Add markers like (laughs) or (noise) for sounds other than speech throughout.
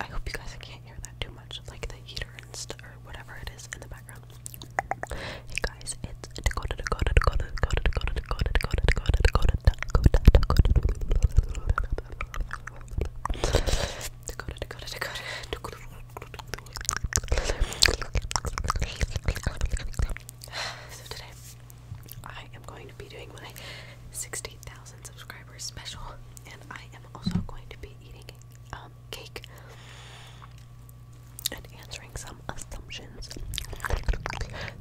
I hope you guys can't hear that too much, like the heater and or whatever it is in the background. Hey guys, it's Dakota, Dakota, Dakota, Dakota, Dakota, Dakota, Dakota, Dakota, Dakota, Dakota, Dakota, Dakota, Dakota, Dakota, Dakota. So today, I am going to be doing my 60,000 subscribers special, and I am also going to be eating um, cake and answering some assumptions,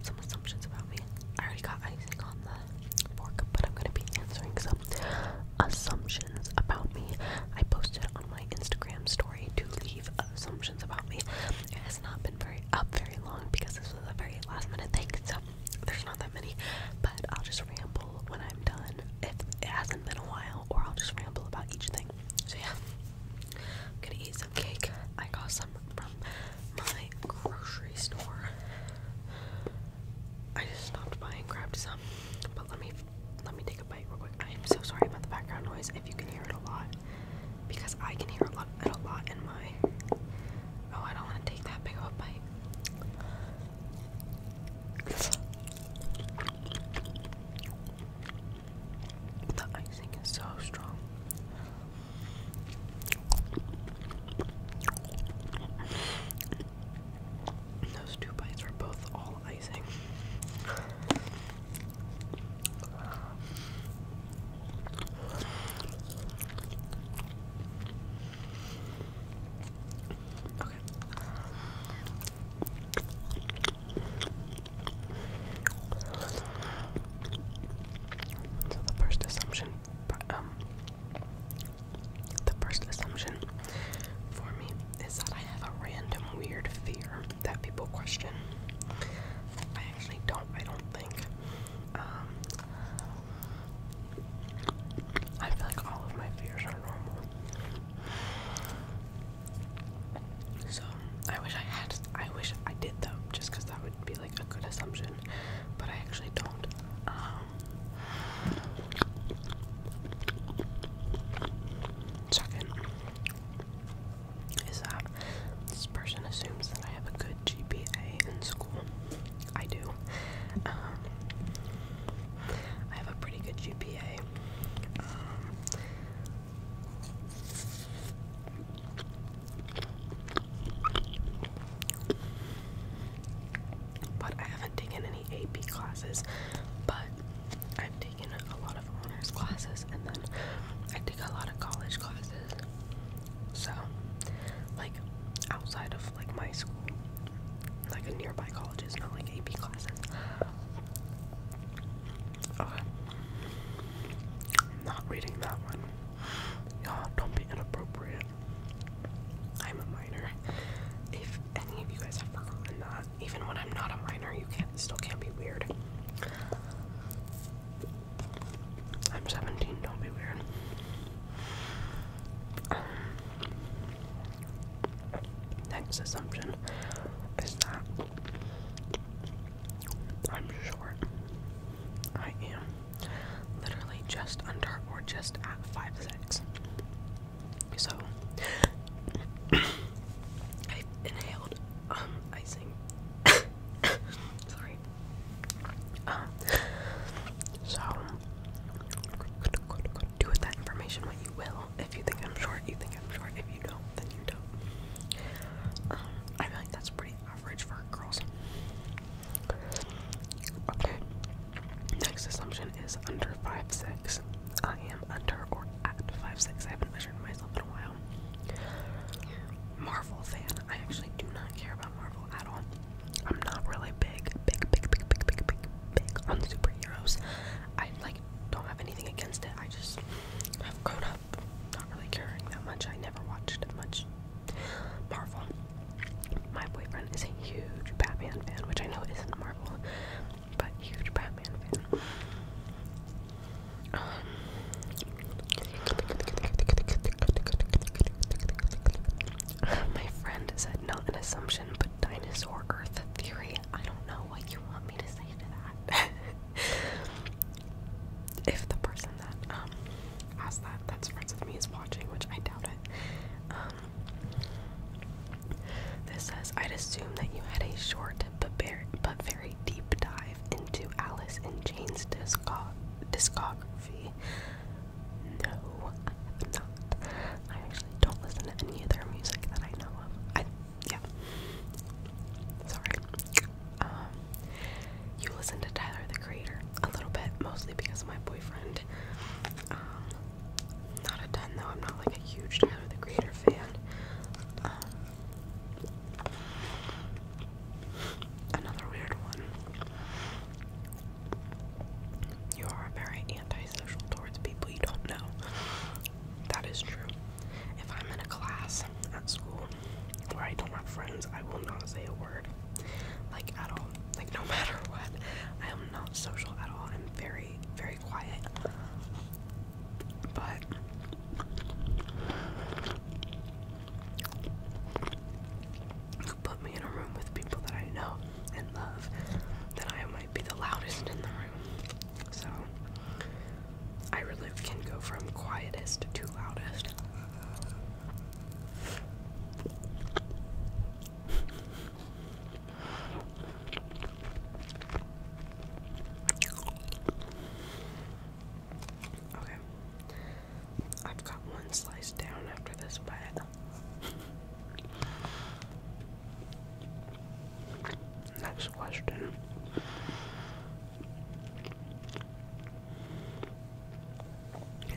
some assumptions about me. I already got icing on the fork, but I'm gonna be answering some assumptions about me. I posted on my Instagram story to leave assumptions about me. It has not been very up very long because this was a very last minute thing, so there's not that many, but I'll just ramble when I'm done if it hasn't been a while, or I'll just ramble about each thing. So, yeah, I'm gonna eat some cake. I got some from my grocery store. I just stopped by and grabbed some, but let me let me take a bite real quick. I am so sorry about the background noise if you can hear it a lot because I can hear a lot a lot in my Oh, I don't want to take that big of a bite. The icing is so strong. Those two bites are both all icing. So the first assumption, um, the first assumption for me is that I have a random weird fear that people question. I actually don't. I don't think um, I feel like all of my fears are normal. So I wish I had. I wish I did though, just because that would be like a good assumption. But I actually don't. Check um, in is that this person assumes that I have a good GPA in school. I do. Um, I have a pretty good GPA. Um, but I haven't taken any AP classes, but I've taken a lot of honors classes and then I take a lot of college classes so, like, outside of like my school, like a nearby college is not like AP classes. Okay. not reading that one. Y'all don't be inappropriate. I'm a minor. If any of you guys have forgotten that, even when I'm not a minor, you can't still can't be weird. I'm 17, don't be weird. Um, next assumption is that I'm short. I am literally just under or just at five six. So, (coughs) I've inhaled um, icing (laughs) (laughs) Sorry. Um, so do with that information what you will. If you think I'm short, you think I'm short. If you don't, then you don't. Um, I feel like that's pretty average for girls. Okay. Next assumption is under five six. I am under or at five six. I haven't measured. Marvel fan. I actually do not care about Marvel at all. I'm not really big, big, big, big, big, big, big, big on superheroes. I like don't have anything against it. I just have grown up not really caring that much. I never watched much Marvel. My boyfriend is a huge Batman fan, which I know isn't Marvel, but huge Batman fan. Um, my friend said, not an assumption, but dinosaur Earth theory. I don't know what you want me to say to that. (laughs) if the person that um, asked that that's friends with me is watching, which I doubt it. Um, this says, I'd assume that you had a short but, but very deep dive into Alice in Chains' discography. No, I have not. I actually don't listen to any of their music that I know of. yeah. Sorry. Um, you listen to Tyler the Creator a little bit, mostly because my boyfriend. Um, not a ton though. I'm not like a huge Tyler the Creator fan. Um, Another weird one. You are very antisocial towards people you don't know. That is true. If I'm in a class at school where I don't have friends, I will not say a word. Like at all. Like no (laughs) matter what. I am not social at all. I'm very, very quiet. But put me in a room with people that I know and love, then I might be the loudest in the room. So I really can go from quietest to loudest. Okay. I've got one slice down after this bite. Next question.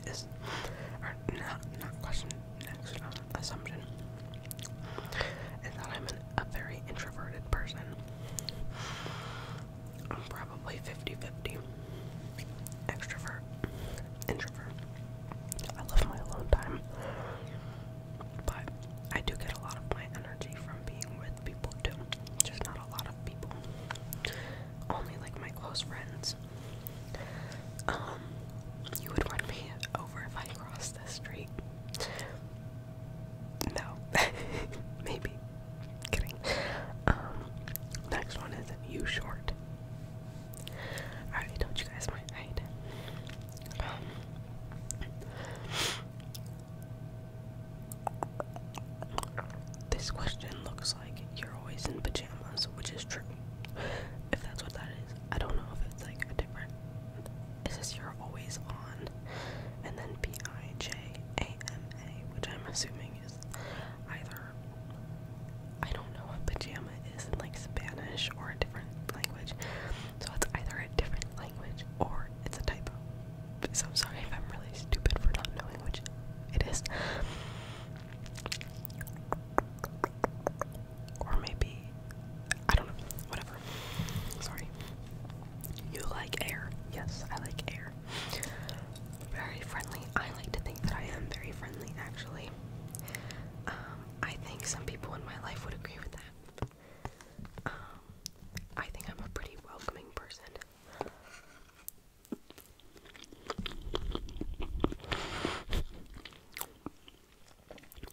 Is or not question, next assumption is that I'm a very introverted person. I'm probably 50 50 extrovert, introvert. I love my alone time, but I do get a lot of my energy from being with people too. Just not a lot of people, only like my close friends. Um, you would run me over if I crossed across the street. No. (laughs) Maybe. Kidding. Um, next one is you short. I already told you guys my height. Um, this question looks like you're always in pajamas, which is true. If that's what that is. I don't know if it's like a different. It says you're always on, and then P I J A M A, which I'm assuming is either I don't know what pajama is in like Spanish or a different language. So it's either a different language or it's a typo. So I'm sorry if I'm really stupid for not knowing which it is or maybe I don't know, whatever. Sorry. You like air. Yes, I like air. Very friendly. I like to think that I am very friendly actually. Um, I think some people in my life would agree with that. Um, I think I'm a pretty welcoming person.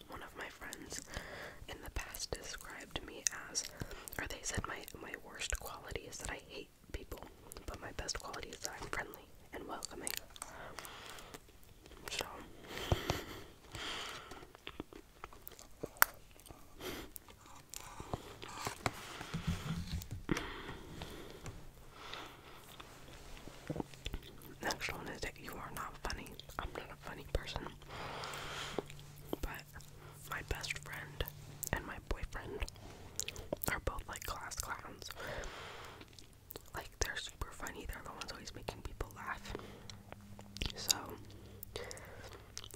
One of my friends in the past described me as, or they said my, my worst quality is that I hate people, but my best quality is that I'm friendly and welcoming. So, Next one is that you are not funny. I'm not a funny person. But my best friend and my boyfriend are both like class clowns. Like they're super funny. They're the ones always making people laugh. So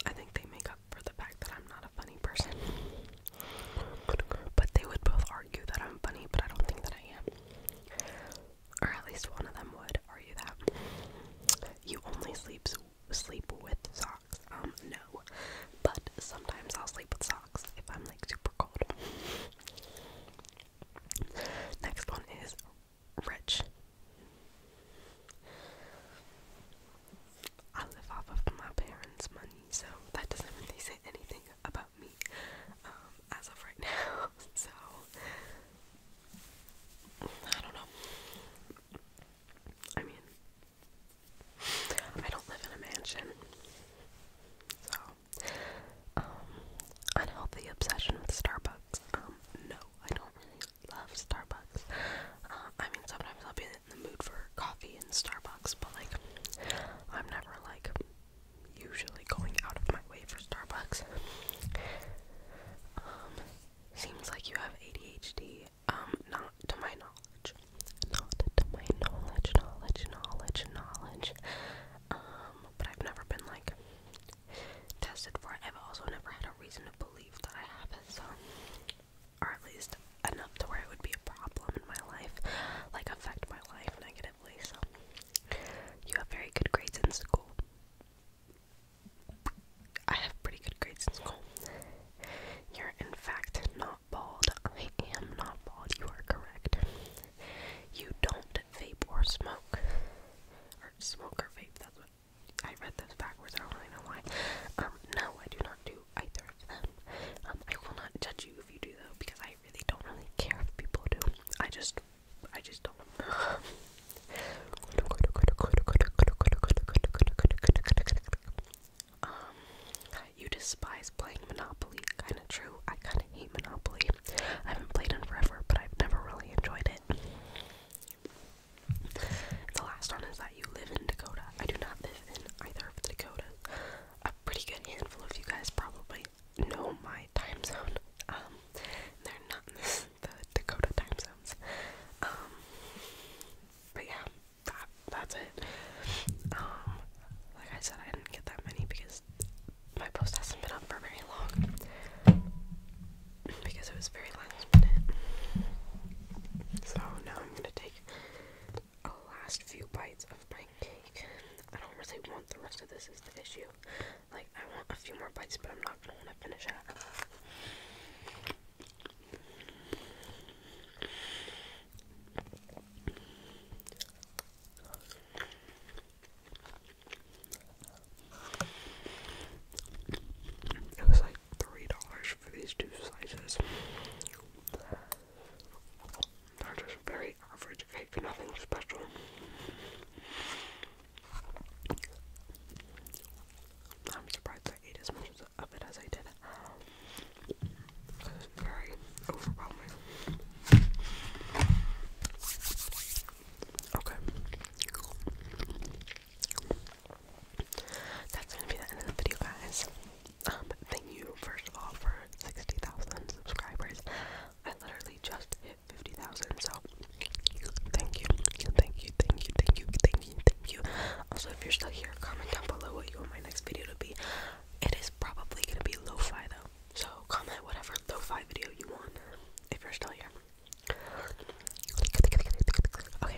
I think they make up for the fact that I'm not a funny person. But they would both argue that I'm funny, but I don't think that I am. Or at least one of them would argue that. You only sleeps sleep with socks. Um, no. But sometimes I'll sleep with socks if I'm like super cold. Next one is rich. I live off of my parents' money, so that doesn't really say anything about me um, as of right (laughs) now. So I don't know. I mean, I don't live in a mansion, so um, unhealthy obsession with Starbucks. Um, no, I don't really love Starbucks. Uh, I mean, sometimes I'll be in the mood for coffee in Starbucks, but like I'm never like usually going out of my way for Starbucks. Um, seems like you have ADHD. Um, not to my knowledge. Not to my knowledge, knowledge, knowledge, knowledge. Um, but I've never been like tested for it. I've also never had a reason to believe that I have it, so or at least enough to where it would be a problem in my life, like affect my life negatively. So, you have very good grades in school. I have pretty good grades in school. You're in fact not bald. I am not bald. You are correct. You don't vape or smoke. Or smoke or vape, that's what I read this backwards, I don't really know why. Um, no, I do not do either of them. Um, I will not judge you if you do though, because I really don't really care if people do. I just, I just don't. um, you despise playing Monopoly. Kind of true. I kind of hate Monopoly. I haven't played it forever, but I've never really enjoyed it. The last one is that you live in Dakota. I do not live in either of the Dakotas. A pretty good handful of you guys probably know my time zone. Um, they're not in the Dakota time zones. Um, but yeah, that's it. Um, like I said, I didn't get that many because my post hasn't been up for very long because it was very last So now I'm gonna take a last few bites of my cake. I don't really want the rest of this is the issue. Like I want a few more bites but I'm not gonna wanna finish it. It was like three dollars for these two slices. just very average cake, nothing special. I'm surprised I ate as much of it as I did. It's very overwhelming. Okay. That's gonna be the end of the video, guys. Um, thank you first of all for 60,000 subscribers. I literally just hit 50,000, so thank you, thank you, thank you, thank you, thank you, thank you. Also, if you're still here, comment down below what you want my next video to be. It is probably gonna be lo though, so comment whatever lo video you want if you're still here. Okay,